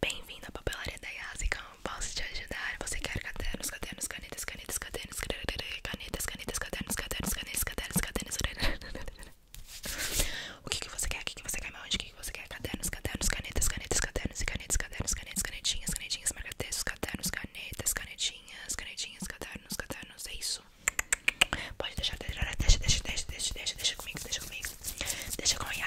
Bem-vindo à papelaria da Yasi, como posso te ajudar? Você quer cadernos, cadernos, canetas, canetas, cadernos, canetas, canetas, cadernos, cadernos, canetas, cadernos, cadernos, O que que você quer? O que que você quer? Onde que você quer? Cadernos, cadernos, canetas, canetas, cadernos e canetas, cadernos, canetas, canetinhas, canetinhas, marca-textos, cadernos, canetas, canetinhas, canetinhas, cadernos, cadernos, é isso. Pode deixar, deixa, deixa, deixa, deixa, deixa comigo, deixa comigo. Deixa eu ganhar.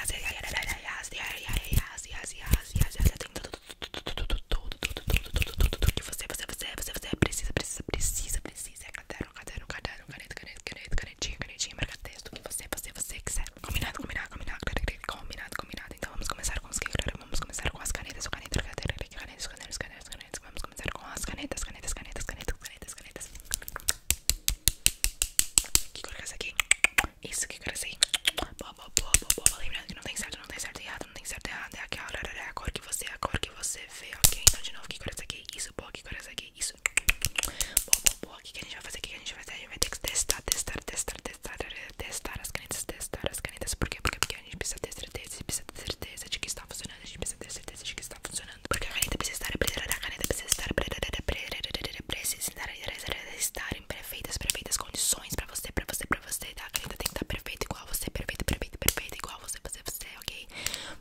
Que você, você, você, você, você precisa, precisa, precisa, precisa. Caderno, caderno, caderno, caneta, caneta, caneta, canetinha, canetinha, marca texto. Que você, você, você quiser. Combinado, combinado, combinado, combinado, combinado. Então vamos começar com os que Vamos começar com as canetas, o caneta, caneta, canetas, canetas, canetas, canetas. Vamos começar com as canetas, canetas, canetas, canetas, canetas, canetas, canetas. Que cor é essa aqui? Isso, que cor é essa aí? Boa, boa, Lembrando que não tem certo, não tem certo errado, não tem certo errado. É aquela é a cor que você, é a cor que você vê, ok? Então, de novo, que cor é que aqui? Isso, boa, que cor é que aqui? Isso. Boa, boa, boa. O que, que a gente vai fazer? O que, que a gente vai fazer? A gente vai ter que testar, testar, testar, testar, testar as canetas, testar as canetas. Por quê? Porque, porque a gente precisa ter certeza, precisa ter certeza de que está funcionando. A gente precisa ter certeza certeza de que está funcionando. Porque a caneta precisa estar, a caneta precisa estar, precisa estar em perfeitas, perfeitas condições pra você, pra você, pra você. Tá? A caneta tem que estar perfeita, igual você, perfeita, perfeita, perfeita, igual você, você, você, ok?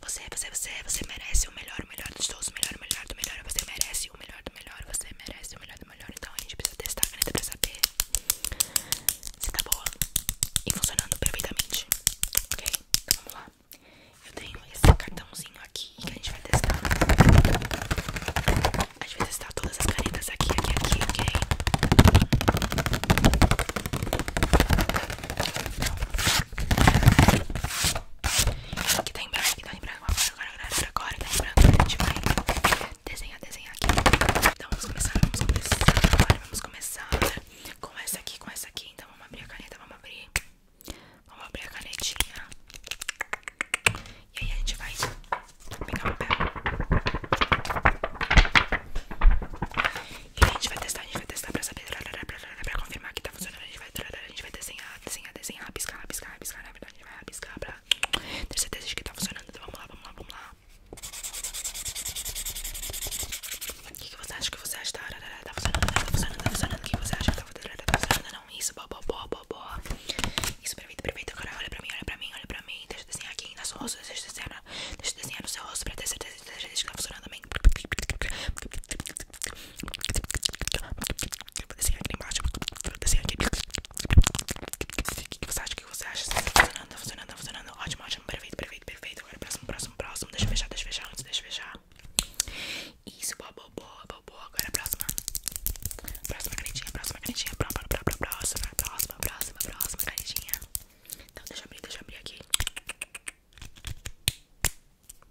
Você, você, você, você merece o melhor, o melhor dos todos, o melhor, o melhor do melhor. Você merece o melhor do melhor, você merece o melhor do melhor. Então a gente precisa testar a caneta pra saber se tá boa e funcionando perfeitamente, ok? Então vamos lá. Eu tenho esse cartãozinho aqui que a gente vai testar. A gente vai testar todas as canetas aqui, aqui, aqui, ok? Aqui tá em branco, agora tá agora agora Agora, agora, agora, tá em branco. desenhar, desenhar aqui. Então vamos começar, vamos começar. Agora vamos começar com essa aqui, com essa aqui. Então vamos abrir a caneta, vamos abrir. Vamos abrir a canetinha. E aí a gente vai pegar o papel. E a gente vai testar, a gente vai testar pra saber, pra confirmar que tá funcionando. A gente vai, desenhar, desenhar, desenhar, piscar, piscar, piscar. Na verdade, a gente vai piscar pra ter certeza de que tá funcionando. Então vamos lá, vamos lá, vamos lá. O que, você acha que você acha? Tá tá, tá, tá funcionando, tá funcionando, tá funcionando. O que, você acha? Tá, tá funcionando, não. Isso, bo, bo, bo, bo, Isso, perfeito, perfeito. Agora olha pra mim, olha pra mim, olha pra mim. Deixa eu desenhar aqui na sua rosto. Deixa eu desenhar, deixa desenhar no seu rosto pra ter certeza de que tá funcionando também. Vou desenhar aqui embaixo. Vou desenhar aqui. O que você acha? que você acha? Tá funcionando, tá funcionando, tá funcionando. Ótimo, ótimo, perfeito, perfeito, perfeito. Agora próximo, próximo, próximo. Deixa eu fechar, deixa eu fechar antes, deixa eu fechar. Isso, boa, boa, boa, boa, boa. Agora é a próxima. Próxima canetinha, próxima canetinha, próxima, próxima, próxima, próxima, próxima canetinha. Então, deixa eu abrir, deixa eu abrir aqui.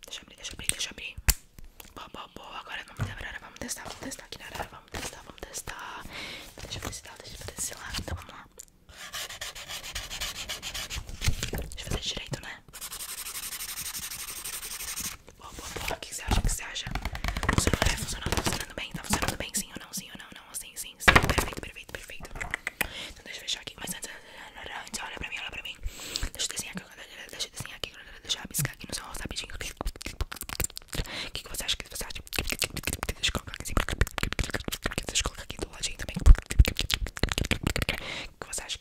Deixa eu abrir, deixa eu abrir, deixa eu abrir. Boa, boa, boa. Agora vamos testar, vamos testar, vamos testar aqui na hora, vamos testar, vamos testar. Deixa eu ver se dá, deixa eu ver se lá. Então, vamos lá. Deixa eu fazer direito, né? Boa, boa, boa. O que você acha? que você acha? Funcionou, né? Funcionou, tá funcionando bem? Tá funcionando bem? Sim ou não? Sim ou não? Não, assim, sim, sim. Perfeito, perfeito, perfeito. Então deixa eu fechar aqui. Mas antes, olha pra mim, olha pra mim. Deixa eu desenhar aqui. Deixa eu desenhar aqui. Deixa eu rabiscar aqui no seu rosto rapidinho. O que, que você acha? que você acha? Deixa eu colocar aqui assim. Deixa eu colocar aqui do ladinho que você acha?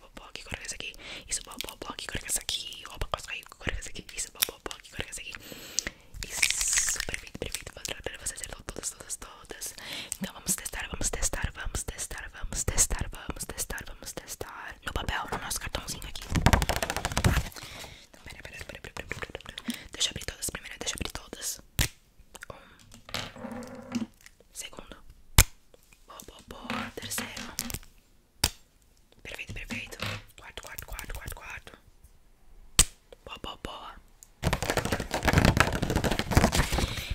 popopó, que cor que aqui, isso popopó, que cor aqui, opa, costa aí, que aqui, isso popopó, que cor aqui. Isso, perfeito, perfeito, para você acertou todas, todas, todas. Então vamos testar, vamos testar, vamos testar, vamos testar, vamos testar, vamos testar. No papel, no nosso cartãozinho aqui. pera, então, pera, pera, pera, pera, pera, Deixa eu abrir todas primeira deixa eu abrir todas. Um. Segundo. Boa, boa, boa. Terceiro. Perfeito, perfeito. quatro quatro quatro quatro quatro Boa, boa, boa.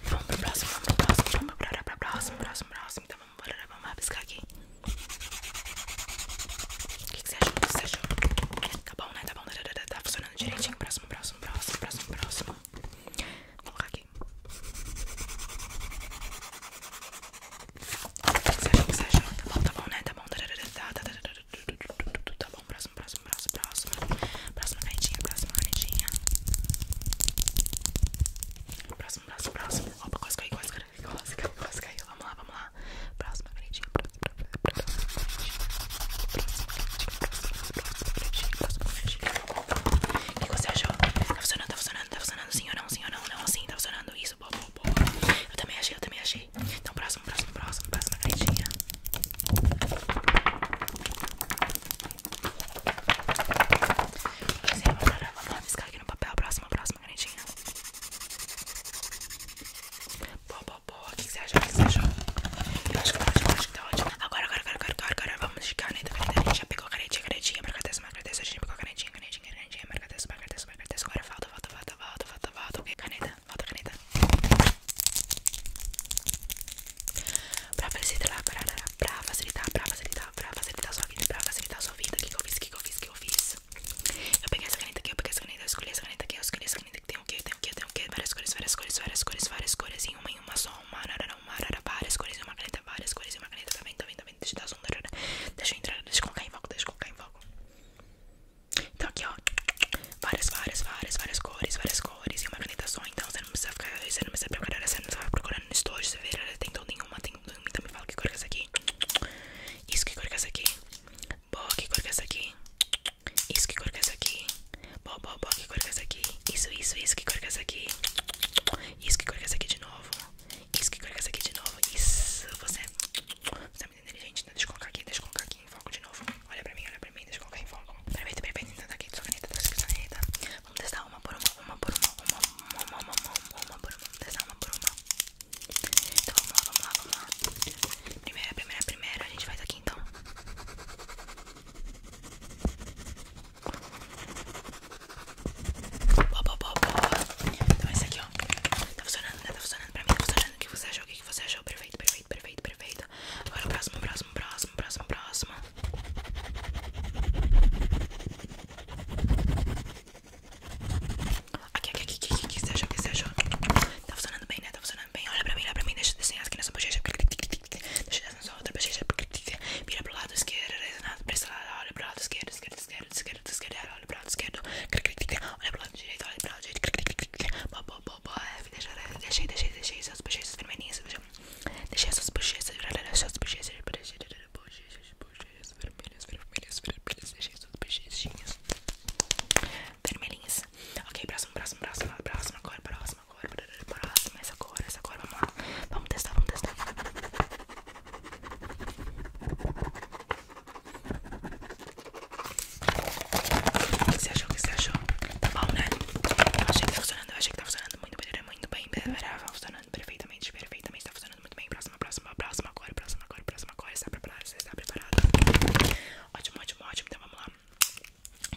vamos pro próximo, vamos pro próximo, vamos pro próximo, próximo, próximo, próximo. Então vamos embora, vamos rabiscar aqui. O que, que você achou? O que você achou? Tá bom, né? Tá bom, tá, tá, tá, tá funcionando direitinho. Próximo, próximo, próximo, próximo, próximo. Vou colocar aqui. Você achou que você achou? Tá bom, tá bom, né? Tá bom. Tá bom, próximo, próximo, próximo, próximo. Próxima canetinha, próxima canetinha. Próximo, próximo, próximo. Opa, quase caiu, quase quase caiu, quase Vamos lá, vamos lá. Próxima canetinha, próxima, próxima, próxima canetinha. Próxima canetinha, o que você achou? Tá funcionando, tá funcionando, tá funcionando sim ou não, sim ou não, não, assim tá funcionando isso, boa, boa, boa. Eu também achei, eu também achei. Então, próximo, próximo, próximo, próxima caixinha. Sim, vamos rabiscar aqui no papel, próximo, próxima canetinha. Boa, boa, boa. O que você acha? O que você achou? Eu acho que pode, pode, Agora, agora, agora, agora, agora, vamos de caneta, caneta. A já pegou canetinha, canetinha, marca dessa, marca dessa. A gente pegou canetinha, canetinha, canetinha, marca dessa, marca dessa, marca dessa. Agora falta, falta, falta, falta, falta, falta. Ok, caneta, falta caneta. Pra facilitar, pra, pra facilitar, pra facilitar, pra facilitar a sua vida, pra facilitar sua vida. O que, eu fiz, o que, eu fiz, o que eu fiz? Eu peguei essa caneta aqui, eu peguei essa caneta, eu escolhi essa caneta aqui, eu escolhi essa caneta que tem o que, tem o que, tem o que, várias cores, várias cores, várias cores, várias cores, várias cores, em uma em uma só, uma uma arara, várias cores e uma caneta, várias cores e uma caneta. Também, também, também. Deixa eu dar Deixa eu entrar, deixa eu colocar em foco, deixa eu colocar em Então aqui ó, várias, várias, várias, várias cores, várias cores e uma caneta só, então você não precisa ficar, você não precisa procurar, você não vai procurando no estojo, você vê, tem tão nenhuma, tem então me fala que cor que é essa aqui, isso que cor que é essa aqui, boa, que cor que é essa aqui, isso que cor que é essa aqui, Bó, bó, bó, que coloca que é essa aqui? Isso, isso, isso, que coloca que é essa aqui? Isso, que coloca que é essa aqui de novo? Isso, que coloca que essa aqui de novo? Isso, você, você é muito inteligente, né? Deixa eu colocar aqui, deixa eu colocar aqui em foco de novo Olha pra mim, olha pra mim, deixa eu colocar em foco Perfeito, perfeito, então tá aqui, sua caneta, tá sua caneta Vamos testar uma por uma, uma por uma, uma, por uma, uma, por uma Vamos testar uma por uma Então vamos lá, vamos lá, vamos lá Primeira, primeira, primeira, a gente vai aqui então Boa, boa, Então esse aqui, ó. Tá funcionando, né? Tá funcionando pra mim, tá funcionando. O que você achou? O que você achou? Perfeito, perfeito, perfeito, perfeito. Agora o próximo, próximo, próximo, próximo, próximo. Aqui, aqui, aqui, aqui, aqui, o que você achou? O que você achou? Tá funcionando bem, né? Tá funcionando bem. Olha pra mim, olha pra mim. Deixa eu desenhar aqui nessa bochecha. Deixa é é outra Mira pro lado esquerdo, presta lá, olha pro lado esquerdo, esquerdo, esquerdo, esquerdo, esquerdo, olha pro lado esquerdo, olha pro lado direito, olha pro lado direito, deixa, deixa, deixa, deixa essas bochechas vermelhinhas, deixa essas bochechas, deixa essas bochechas, bochechas, bochechas vermelhas, vermelhas, vermelhas, deixa essas bochechinhas vermelhinhas. Ok, próximo, próximo, próximo, próximo, agora, próximo próxima cor, essa cor, essa cor, vamos lá. Vamos testar, vamos testar. O que você achou? O que você achou? Tá bom, né? Eu achei que tá funcionando, eu achei que tá funcionando muito bem, muito bem. Tá, tá, tá, tá funcionando perfeitamente, perfeitamente, tá funcionando muito bem. Próxima, próxima, próxima cor, próxima cor, próxima cor. Está preparado? Você está preparado? Ótimo, ótimo, ótimo. Então vamos lá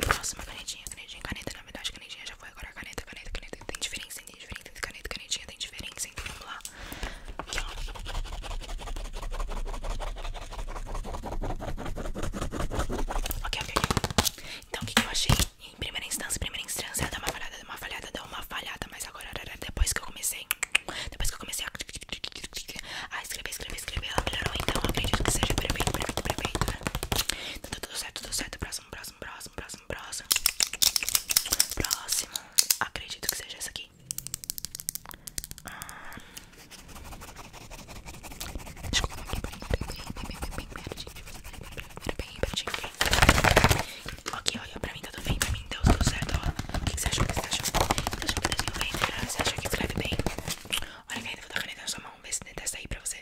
próxima canetinha, canetinha, caneta Na verdade, canetinha já foi, agora caneta, caneta, caneta Tem diferença, tem diferença entre caneta canetinha Tem diferença, então vamos lá Aqui, ó Ok, ok, Então, o que, eu achei? Em primeira instância, primeira instância Dá uma falhada, dá uma falhada, dá uma falhada Mas agora, depois que eu comecei Depois que eu comecei a escrever, escrever, escrever, melhorou, então acredito que seja perfeito, perfeito, perfeito. Né? Tá tudo certo, tudo certo. Próximo, próximo, próximo, próximo, próximo. Próximo. Acredito que seja essa aqui. Ah. Desculpa, bem pertinho. olha, pra mim tá tudo bem, pra mim deu tudo certo. Ó. O que, você acha que você acha Você achou que bem? Você achou que escreve bem? Olha, ainda vou dar caneta na sua mão, ver se dessa aí pra você.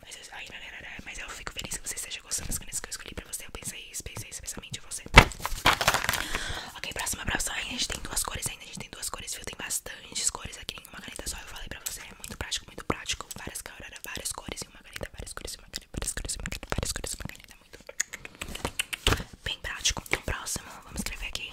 Mas eu, ai, mas eu fico feliz que você esteja gostando das coisas que eu escolhi pra você. Eu pensei isso, pensei especialmente em você. Ok, próxima, próxima. a gente tem duas cores ainda. A gente tem duas cores, Tem bastantes cores aqui em uma caneta só. Eu falei pra você, é muito prático, muito prático. Várias cores, várias cores em uma caneta, várias cores em uma caneta, várias cores em uma caneta, várias cores uma caneta. Muito bem prático. Então, próximo, vamos escrever aqui.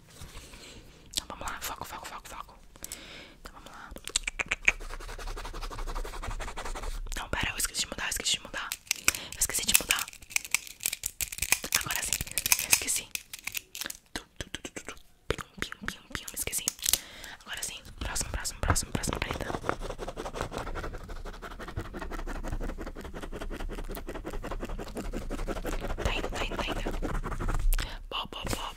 tá? Então vamos lá, foco, foco, foco, foco. Então vamos lá. Não, pera, eu esqueci de mudar, eu esqueci de mudar. esqueci de mudar. Agora sim, eu esqueci. Pium, pium, pium, pium, esqueci. Agora sim, próximo, próximo, próximo, próximo, preta. Tá indo, tá indo, tá indo. Bom, bom, bom,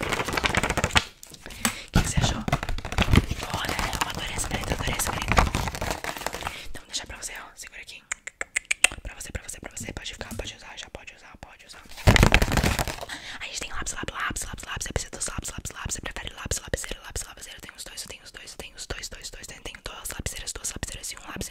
O que você achou? Boa, né? Eu adorei essa caneta, adorei essa caneta. Então, vou deixar pra você, ó. Segura aqui. Pra você, pra você, pra você. Pode ficar, pode usar, já pode usar, pode usar. A gente tem lápis, lápis, lápis, lápis, lápis. Você precisa dos lápis, lápis, lápis. Você prefere lápis, lapiseiro, lápis, lapiseiro. Tem os dois, eu tenho os dois, eu tenho os dois, dois, dois. Tenho duas lapiseiras, duas lapiseiras e um lápis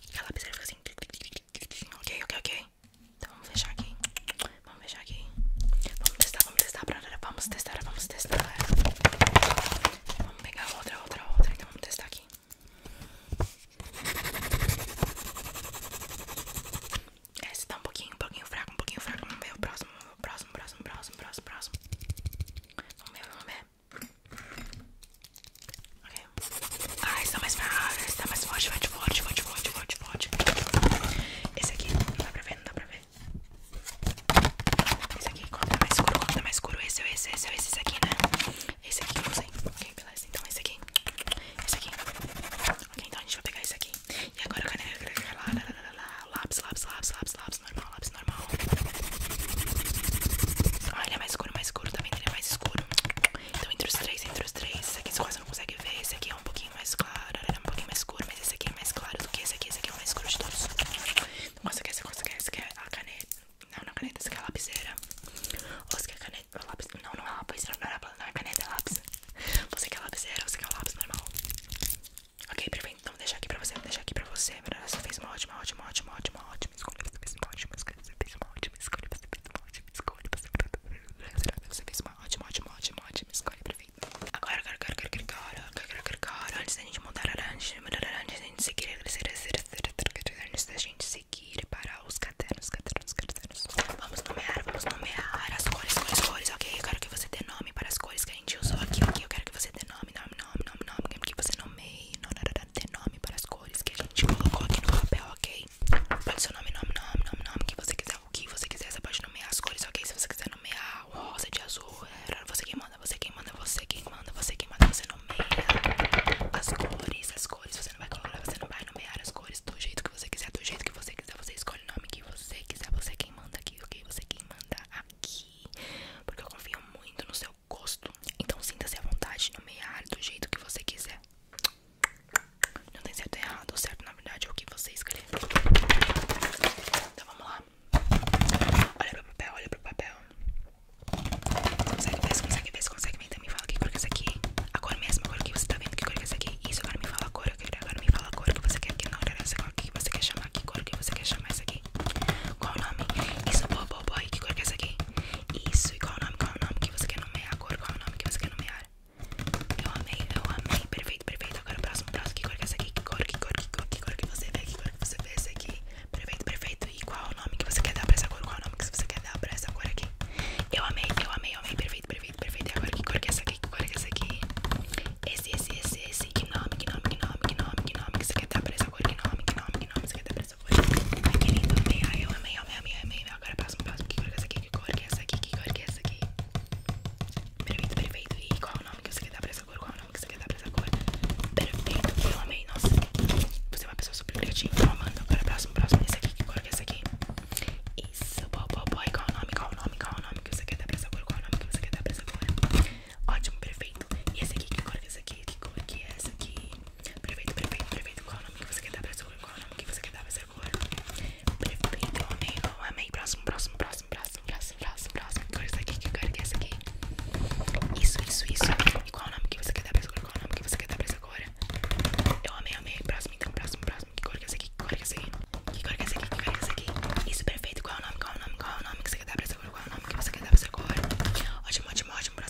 a lapiseira fica assim. Ok, ok, ok. Então vamos fechar aqui. Vamos fechar aqui. Vamos testar, vamos testar. Vamos testar, vamos testar. Vamos pegar outra, outra, outra. Então vamos testar aqui. Esse tá um pouquinho, um pouquinho fraco, um pouquinho fraco. Vamos ver o próximo, o próximo, próximo, próximo, próximo, próximo. Vamos ver, vamos ver. Ah, está mais forte, está mais forte, forte, forte, forte, forte, forte, Esse aqui, não dá pra ver, não dá pra ver. Esse aqui, qual mais escuro, qual mais escuro? Esse é esse, esse é esse, esse aqui, né? Esse aqui que eu usei. Ok, beleza. Então esse aqui. Esse aqui. Ok, então a gente vai pegar esse aqui. E agora o caneta, lápis, lápis, lápis, lápis, lápis, normal, lápis normal. Ah, ele é mais escuro, mais escuro também, ele é mais escuro. Então entre os três, entre os três, esse aqui você quase não consegue ver, esse aqui é um pouquinho mais claro, Era é um pouquinho mais escuro, mas esse aqui é mais claro do que esse aqui, esse aqui é o mais escuro de todos. Então você quer, você quer, você quer a caneta, não, não a é caneta, você quer é a lapiseira. Ou você quer a caneta, lápis, não, não é a lapiseira, não é, a, caneta, é lápis. Você quer a lapiseira, você quer o lápis normal. Ok, perfeito, então deixa aqui pra você, vou aqui pra você, você fez uma ótima, ótima, ótima, ótima, ótima ótima escolha, você fez uma ótima escolha, você fez uma ótima escolha, você fez uma ótima escolha, você fez uma ótima você fez uma ótima, ótima, ótima, ótima escolha, perfeita. Agora, agora, agora, agora, agora, agora, agora, agora, antes da gente mudar a antes da gente seguir, antes da gente seguir para os cadernos, cadernos, cadernos. Vamos nomear, vamos nomear as cores, cores, cores, ok? Eu quero que você dê nome para as cores que a gente usou aqui, ok? Eu quero que você dê nome, nome, nome, nome, nome, que você nomeie reino, ter nome para as cores que a gente colocou aqui no papel, ok? Pode ser o nome, nome, nome, nome, nome, que você quiser, o que você quiser, você pode nomear as cores, ok? Se você quiser nomear rosa de azul, é você quem manda, você quem manda, você quem manda, você quem manda, você nomeia as cores, as cores, você não vai colocar, você não vai nomear as cores do jeito que você quiser, do jeito que você quiser, você escolhe o nome que você quiser, você quem manda aqui, ok? Você quem manda aqui, porque eu confio muito no seu gosto. Então sinta-se à vontade, nomear do jeito que você quiser. Não tem certo e errado, o certo na verdade é o que você escolher. Então vamos lá. Olha pro papel, olha pro papel. Consegue ver, consegue ver, consegue ver. Então me fala que cor que é aqui. Agora mesmo, agora que você tá vendo que cor que é aqui. Isso, agora me fala a cor, agora me fala a cor que você quer que não, agora essa cor que você quer chamar, aqui cor que você quer chamar essa aqui. Qual o nome? Isso, boa, boa, boa. E que cor que é essa aqui? Isso, e qual o nome? Qual o nome que você quer nomear? A cor, qual o nome que você quer nomear? Eu amei, eu amei. Perfeito, perfeito. Agora o próximo, próximo. Que cor que é essa aqui? Que cor, que cor, que cor, que cor que você vê? Que cor que você vê essa aqui? Perfeito, perfeito. E qual o nome que você quer dar pra essa cor? Qual o nome que você quer dar pra essa cor aqui? Eu amei, eu amei, eu amei. Perfeito, perfeito, perfeito. E agora que cor que é essa aqui? Que cor que é essa aqui? Esse, esse, esse, esse. Que nome, que nome, que nome, que nome, que nome que você quer dar pra essa cor? Que nome, que nome, que nome você quer dar pra essa foi. Ai, que lindo, amei. eu amei, amei, amei, Agora próximo próximo Que cor que é essa aqui? Que cor que é essa aqui? Que cor é essa aqui? Perfeito, perfeito. E qual o nome que você quer dar pra essa cor? Qual o nome que você quer dar pra essa cor? Perfeito, eu amei. Nossa, você é uma pessoa super criativa. Então, amando. Agora próximo, próximo. Esse aqui, que cor que é essa aqui? Isso, boa, boa, boa. qual o nome? Qual o nome? Qual o nome que você quer dar pra essa cor? Qual o nome que você quer dar pra essa cor? Ótimo, perfeito. E esse aqui, que cor que é esse aqui? Que cor é que é essa aqui? Perfeito, perfeito, perfeito. Qual é o nome que você quer dar pra essa cor? Qual o nome que você quer dar pra essa cor? Perfeito, eu amei, eu amei. Próximo, próximo, próximo, próximo, próximo, próximo, Que cor é essa aqui? Que cor que é essa aqui? Isso, isso, isso. E qual o nome que você quer dar pra essa cor? Qual o nome que você quer dar pra essa cor? Eu amei, amei. Próximo, então, próximo, próximo. Que cor que é essa aqui? Que cor que aqui? Que cor que é essa aqui? Isso, perfeito. Qual o nome? Qual é o nome? Qual o nome que você quer dar pra essa cor? Qual o nome que você quer dar pra essa cor? Ótimo, ótimo, ótimo.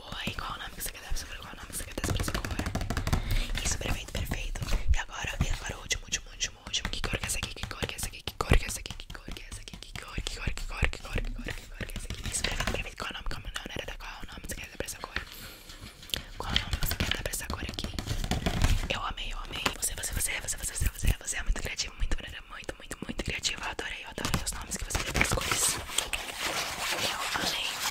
boa e qual o nome que você quer dar pra essa cor. Isso, perfeito, perfeito. E agora, e agora o último, último, último, último. Que cor que é essa aqui? Que cor que é essa aqui? Que cor que é essa aqui? Que cor que é essa aqui? Que cor, que essa aqui que cor, que cor, que cor, que cor que é essa aqui? Isso, perfeito, perfeito. Qual o nome? Qual o nome? Era da qual o nome que você quer dar pra essa cor? Qual o nome que você quer dar pra essa cor aqui? Eu amei, eu amei. Você, você, você, você, você, você, você, é muito criativo, muito, muito, muito, muito criativa. Eu adorei, eu adoro os nomes que você deu pras cores. Eu amei.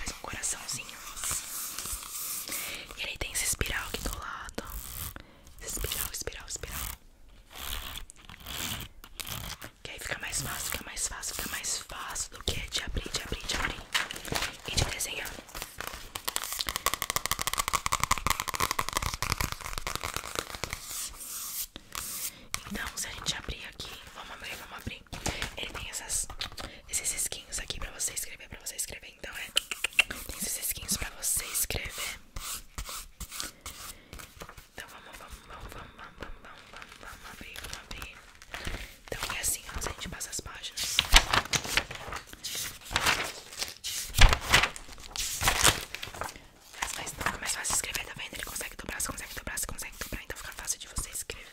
Faz um coraçãozinho. E ele tem esse espiral aqui do lado. espiral, espiral, espiral. Que aí fica mais fácil, fica mais fácil, fica mais fácil do que é de abrir, de abrir, de abrir. E de desenhar. Então, se a gente abrir aqui, vamos abrir, vamos abrir. Ele tem essas, esses skins aqui pra você escrever, pra você escrever. Então, é. Tem esses skins pra você escrever. Então, vamos, vamos, vamos, vamos, vamos, abrir, vamos abrir. Então, é assim, ó, se a gente passa as páginas. Mas, mas mais fácil escrever, também Ele consegue dobrar, consegue dobrar, consegue dobrar, então fica fácil de você escrever.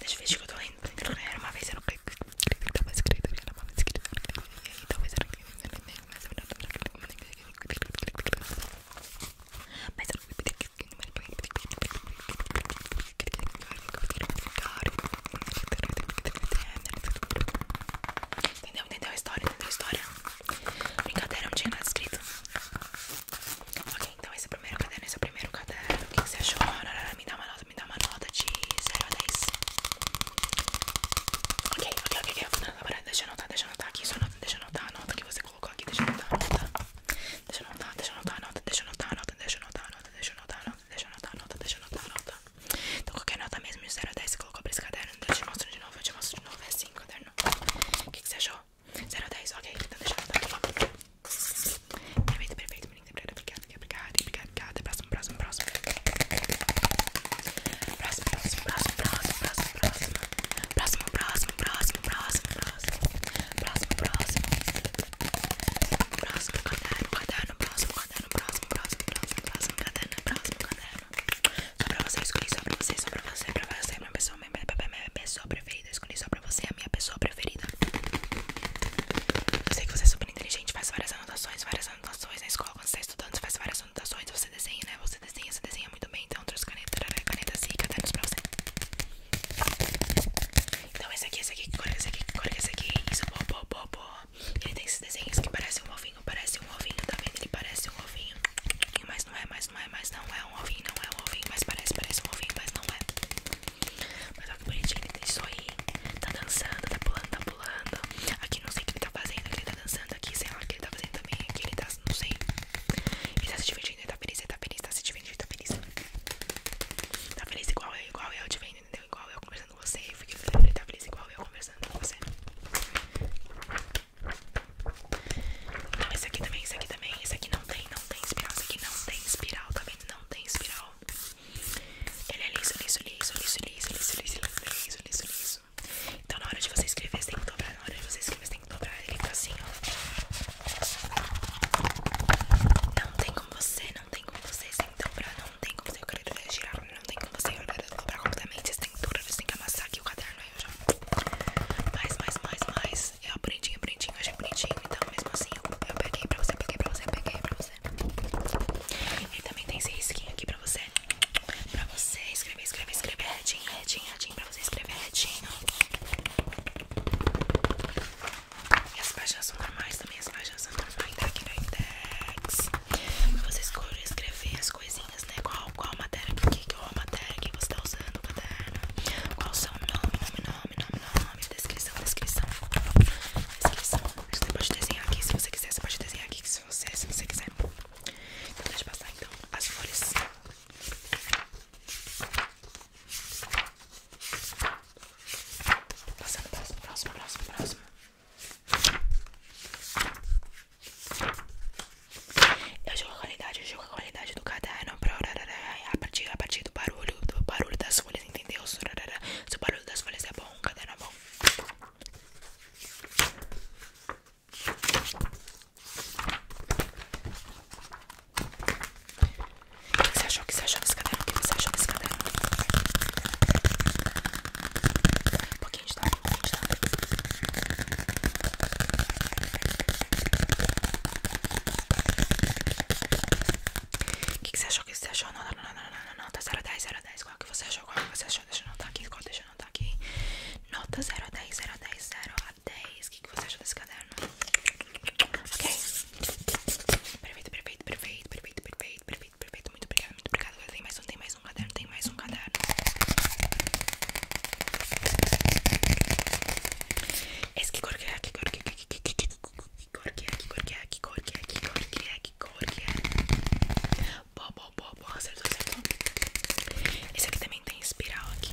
Deixa eu ver que eu tô lendo. Era uma vez eu não clico. Tava escrito, era uma escrito. E talvez eu não clico. Mas eu não clico. Mas eu não clico. Entendeu? Entendeu a história? Entendeu a história? Brincadeira, não tinha nada escrito. Ok, então esse é o primeiro caderno, esse é o primeiro caderno. O que você achou? Me dá uma nota, me dá uma nota de 0 a 10. Ok, ok, ok, deixa eu anotar, deixa eu anotar aqui. Só anota, deixa eu anotar a nota que você colocou aqui. Deixa eu anotar a nota. Deixa eu anotar, deixa eu anotar nota, deixa eu anotar nota, deixa eu anotar nota, deixa eu anotar nota, deixa eu anotar nota, deixa eu nota. Então qualquer nota mesmo, de 0 a 10, você colocou pra esse caderno. Então eu mostrar de novo, eu te mostro de novo, é assim, caderno. O que, que você achou? 0 a ok, então deixa eu anotar aqui. Tá perfeito, perfeito, menina, obrigada, obrigada, obrigada, obrigada. Até próximo, próximo, próximo. Próximo, próximo, próximo, próximo, próximo, próximo. Próximo, próximo, próximo, próximo, próximo próximo, próximo, próximo caderno, caderno, próximo caderno, próximo, próximo, próximo, próximo caderno, próximo caderno. Só pra você, escolhi só pra você, só pra você, pra você, minha pessoa, minha, minha pessoa preferida. Eu escolhi só pra você, a minha pessoa preferida. Eu sei que você é super inteligente, faz várias anotações, várias anotações na escola. Quando você tá estudando, você faz várias anotações. Você desenha, né? Você desenha, você desenha muito bem canetas então, trouxe caneta, caneta assim, cadernos tá pra você Então esse aqui, esse aqui, que esse aqui, que esse aqui Isso, boa, boa, boa, Ele tem esses desenhos que parecem um ovinho, parece um ovinho, tá vendo? Ele parece um ovinho Mas não é, mas não é, mas não é um ovinho, não é um ovinho Mas parece, parece um ovinho, mas não é Mas olha que bonitinho, ele tem isso aí Tá dançando, tá pulando, tá pulando Aqui não sei o que ele tá fazendo, ele tá dançando Aqui sei lá o que ele tá fazendo também Aqui ele tá, não sei Ele tá se divertindo divertindo, ele tá feliz, ele tá feliz, tá se divertindo, tá feliz. Tá feliz igual eu, igual eu te vendo, entendeu? Igual eu conversando com você, eu feliz, ele tá feliz igual eu conversando com você. Não, esse aqui também, esse aqui também, esse aqui não tem, não tem espiral, esse aqui não tem espiral, tá vendo? Não tem espiral. Ele é liso, liso, liso, liso, liso, liso, liso, liso, liso, liso, Então na hora de você escrever, você tem que dobrar, na hora de você escrever, você tem que dobrar ele tá assim, ó. Não tem como você, não tem como você, você tem que dobrar, não tem como você, eu quero girar, não tem como você eu quero dobrar completamente, você tem que dobrar, você tem que amassar aqui o caderno, aí eu já... Mais, mais, mais, mais, é bonitinho, é bonitinho, eu achei bonitinho, então mesmo assim eu, peguei pra você, peguei pra você, peguei pra você. e também tem esse risquinho aqui pra você, pra você escrever, escrever, escrever, redinho, redinho, redinho, pra você escrever redinho. E as páginas são normais também, as páginas são normais, tá aqui no index. Você escolhe escrever as coisinhas, né? Qual, qual matéria, por que qual matéria que você está usando o caderno, qual o seu nome, nome, nome, nome, nome, descrição, descrição, descrição. Você pode desenhar aqui se você quiser, você pode desenhar aqui se você, se você quiser. Então deixa passar então as folhas. Passando, próximo, próximo, próximo, próximo. Eu qualidade, eu jogo a qualidade do caderno a partir, a partir do barulho, do barulho das folhas, entendeu? Se o barulho das folhas é bom, o caderno é bom. O que você achou? O que você achou desse caderno? O que você achou desse caderno? Um pouquinho de dor, um pouquinho de dor. O que você achou? O que você achou? Não, não, não, não, não, nota 0 a 10, 0 Qual que você achou? Qual que você achou? Deixa eu anotar aqui, qual deixa eu anotar aqui. Nota 0 a 10, 0 10. O que, você acha desse caderno? Ok. Perfeito, perfeito, perfeito, perfeito, perfeito, perfeito, perfeito. Muito obrigada, muito obrigada. Agora tem mais um, tem mais um caderno, tem mais um caderno. Esse que cor que é, que cor que é, que cor que é, que cor que é, que cor que é, que cor que é, que cor que é, que cor que é. é. Boa, boa, boa, boa, acertou, acertou. Esse aqui também tem espiral aqui.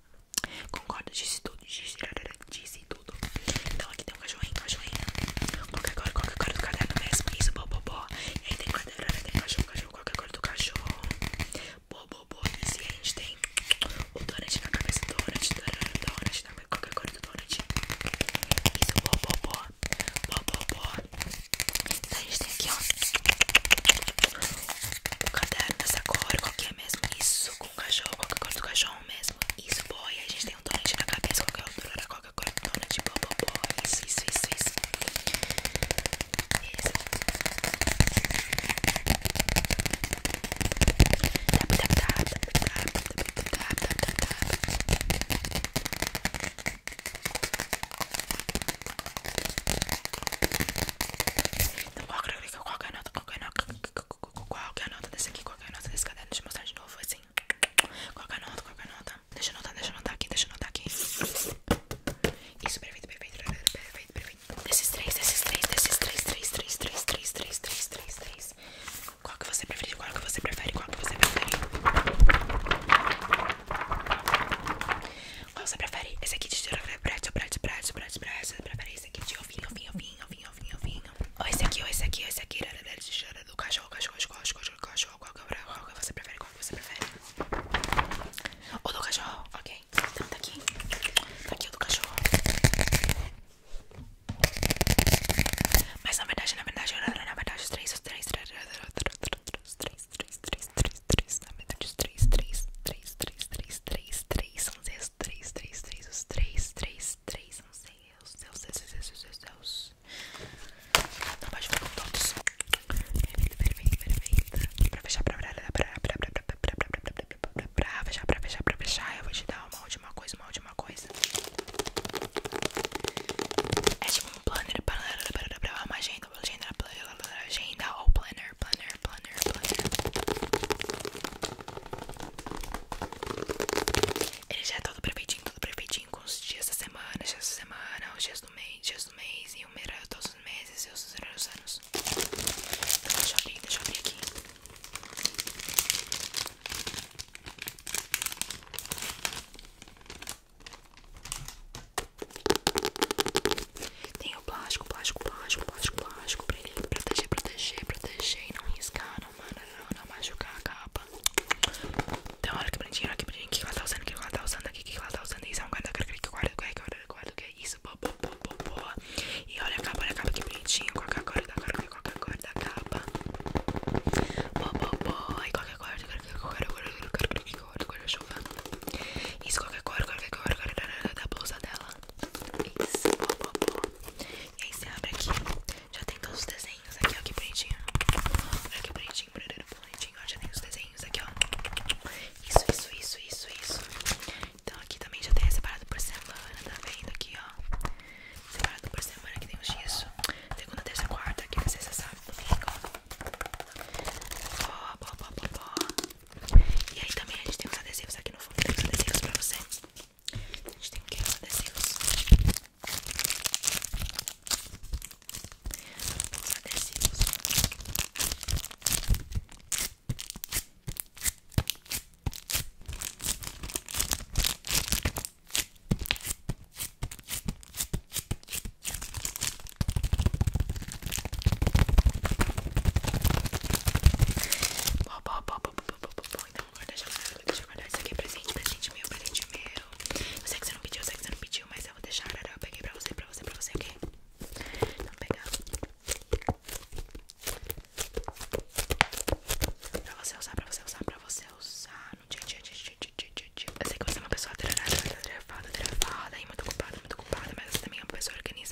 Concorda? Disse tudo. Disse, tudo. Então aqui tem um cachorrinho, cachorrinho. Qualquer cor, qualquer cor do caderno mesmo. Isso, bo, bo, E aí tem quadrado, tem cachorro, cachorro, qualquer cor do cachorro. Bo, bo, bo. E se a gente tem o donut na cabeça, donut, donut, donut, na qualquer cor do donut. Isso, bo, bo, bo. Bo, Então a gente tem aqui, ó. O caderno, essa cor, qualquer é mesmo. Isso o cachorro, qualquer coisa do cachorro mesmo. Isso, boy. A gente tem um donut na cabeça, qualquer altura da qualquer coisa. Donut, boy, boy, boy. Isso, isso, isso, isso. Isso. Tap, tap, tap, tap, tap, tap, Qualquer nota, qualquer nota desse aqui, qualquer nota desse caderno, deixa eu mostrar de novo, assim. Qualquer nota, qualquer nota. Deixa eu anotar, deixa eu anotar aqui, deixa eu anotar aqui. Isso, perfeito, perfeito, perfeito, perfeito, perfeito. Desses três, desses três, desses três, três, três, três, três, três, três, três, três. Qual que você prefere? Qual que você prefere? Qual que você prefere? Qual você prefere? Esse aqui de braço, braço, braço, braço, braço. Você prefere esse aqui de ovinho, ovinho, ovinho, ovinho, ovinho, ovinho. Ou esse aqui, ou esse aqui, ou esse aqui. Do cachorro, cachorro, cachorro, cachorro. Qual que você prefere? Qual que você prefere? O do cachorro, ok. Então tá aqui. Tá aqui o do cachorro. Mas na verdade, na verdade, na verdade, os três, os três, os três, os três, os três, os três, os três, os três, os três, os três, os três, os três, os três, os três, os três, os três, são Zs, três, três, três, os três, três, três, não sei, os Zeus, Zeus, Zeus, Zeus, Zeus. Não vai jogar com todos. Perfeito, perfeito, perfeito. Pra fechar, pra fechar, pra fechar, eu vou te dar uma última coisa, uma última coisa. É tipo um planner, uma agenda, agenda ou planner planner, planner, planner, Ele já é todo perfeitinho, todo perfeitinho com os dias da semana, dias da semana, os dias do mês, dias do mês e o melhor é todos os meses e os melhores anos. Então, deixa eu abrir, deixa eu abrir aqui. Tem o plástico, plástico, plástico, plástico, plástico pra ele proteger, proteger, proteger e não riscar, não, não, não machucar a capa. Então, olha que bonitinho, olha que bonitinho. O que ela tá usando? O que ela tá usando aqui? O que ela tá usando? Isso é um guarda-guarda, guarda-guarda, que é isso? E olha capa, olha capa que bonitinho. Qual a cor da a cor capa? Boa, boa, boa. E qual que é a cor? Qual a cor? Qual a cor? Qual que é a cor? Isso, a cor? Qual a cor da blusa dela? Isso, boa, boa, boa. E aí você abre aqui. Já tem todos os desenhos aqui, ó. Que bonitinho. Olha que bonitinho, bonitinho. Ó, já tem os desenhos aqui, ó. Isso, isso, isso, isso, isso. Então aqui também já tem é separado por semana, tá vendo? Aqui, ó. Separado por semana que tem os dias. Segunda, terça, quarta, quinta, sexta, sábado, domingo. Boa, boa, boa, boa, boa. E aí também a gente tem os adesivos aqui no fundo, tem os adesivos pra você. A gente tem o que? Adesivos. Os adesivos. Bom, bom, bom, bom, bom, bom, bom, bom. Então, guarda já Deixa eu guardar isso aqui presente presente meu, presente meu. Eu sei que você não pediu, eu sei que você não pediu, mas eu vou deixar, eu peguei pra você, pra você, pra você, ok? Então, vou Pra você usar, pra você usar, pra você usar no dia, dia, dia, dia, dia, dia, Eu sei que você é uma pessoa atrevada, atrevada, atrevada e muito ocupada, muito ocupada, mas você também é uma pessoa organizada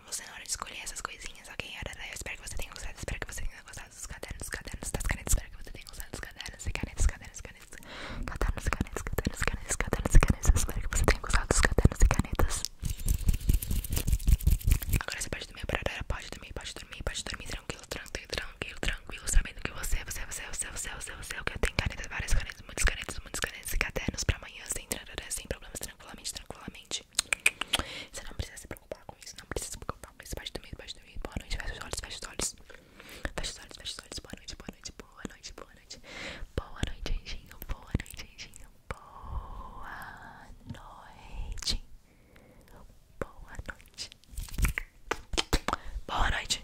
você na hora de escolher essas coisinhas, ok? Eu espero que você tenha gostado, espero que você tenha gostado dos cadernos, cadernos, das canetas, espero que você tenha gostado dos cadernos e canetas, cadernos, canetas, cadernos, canetas, cadernos, canetas, cadernos e canetas, espero que você tenha gostado dos cadernos e canetas. Agora você pode dormir, parará, pode dormir, pode dormir, pode dormir tranquilo, tranquilo, tranquilo, tranquilo, sabendo que você, você, você, você, você, você, você, você, você, eu tenho canetas, várias canetas canetas, muitas canetas, muitas canetas e cadernos pra amanhã sem trarará, sem problemas, tranquilamente, tranquilamente. Você não precisa se preocupar com isso, não precisa se preocupar com isso. Baixa do Boa noite, fecha os olhos, fecha os olhos. Fecha os olhos, fecha os olhos. Boa noite, boa noite, boa noite, boa noite. Boa noite, anjinho, boa noite, anjinho. Boa noite. Boa noite. Boa noite.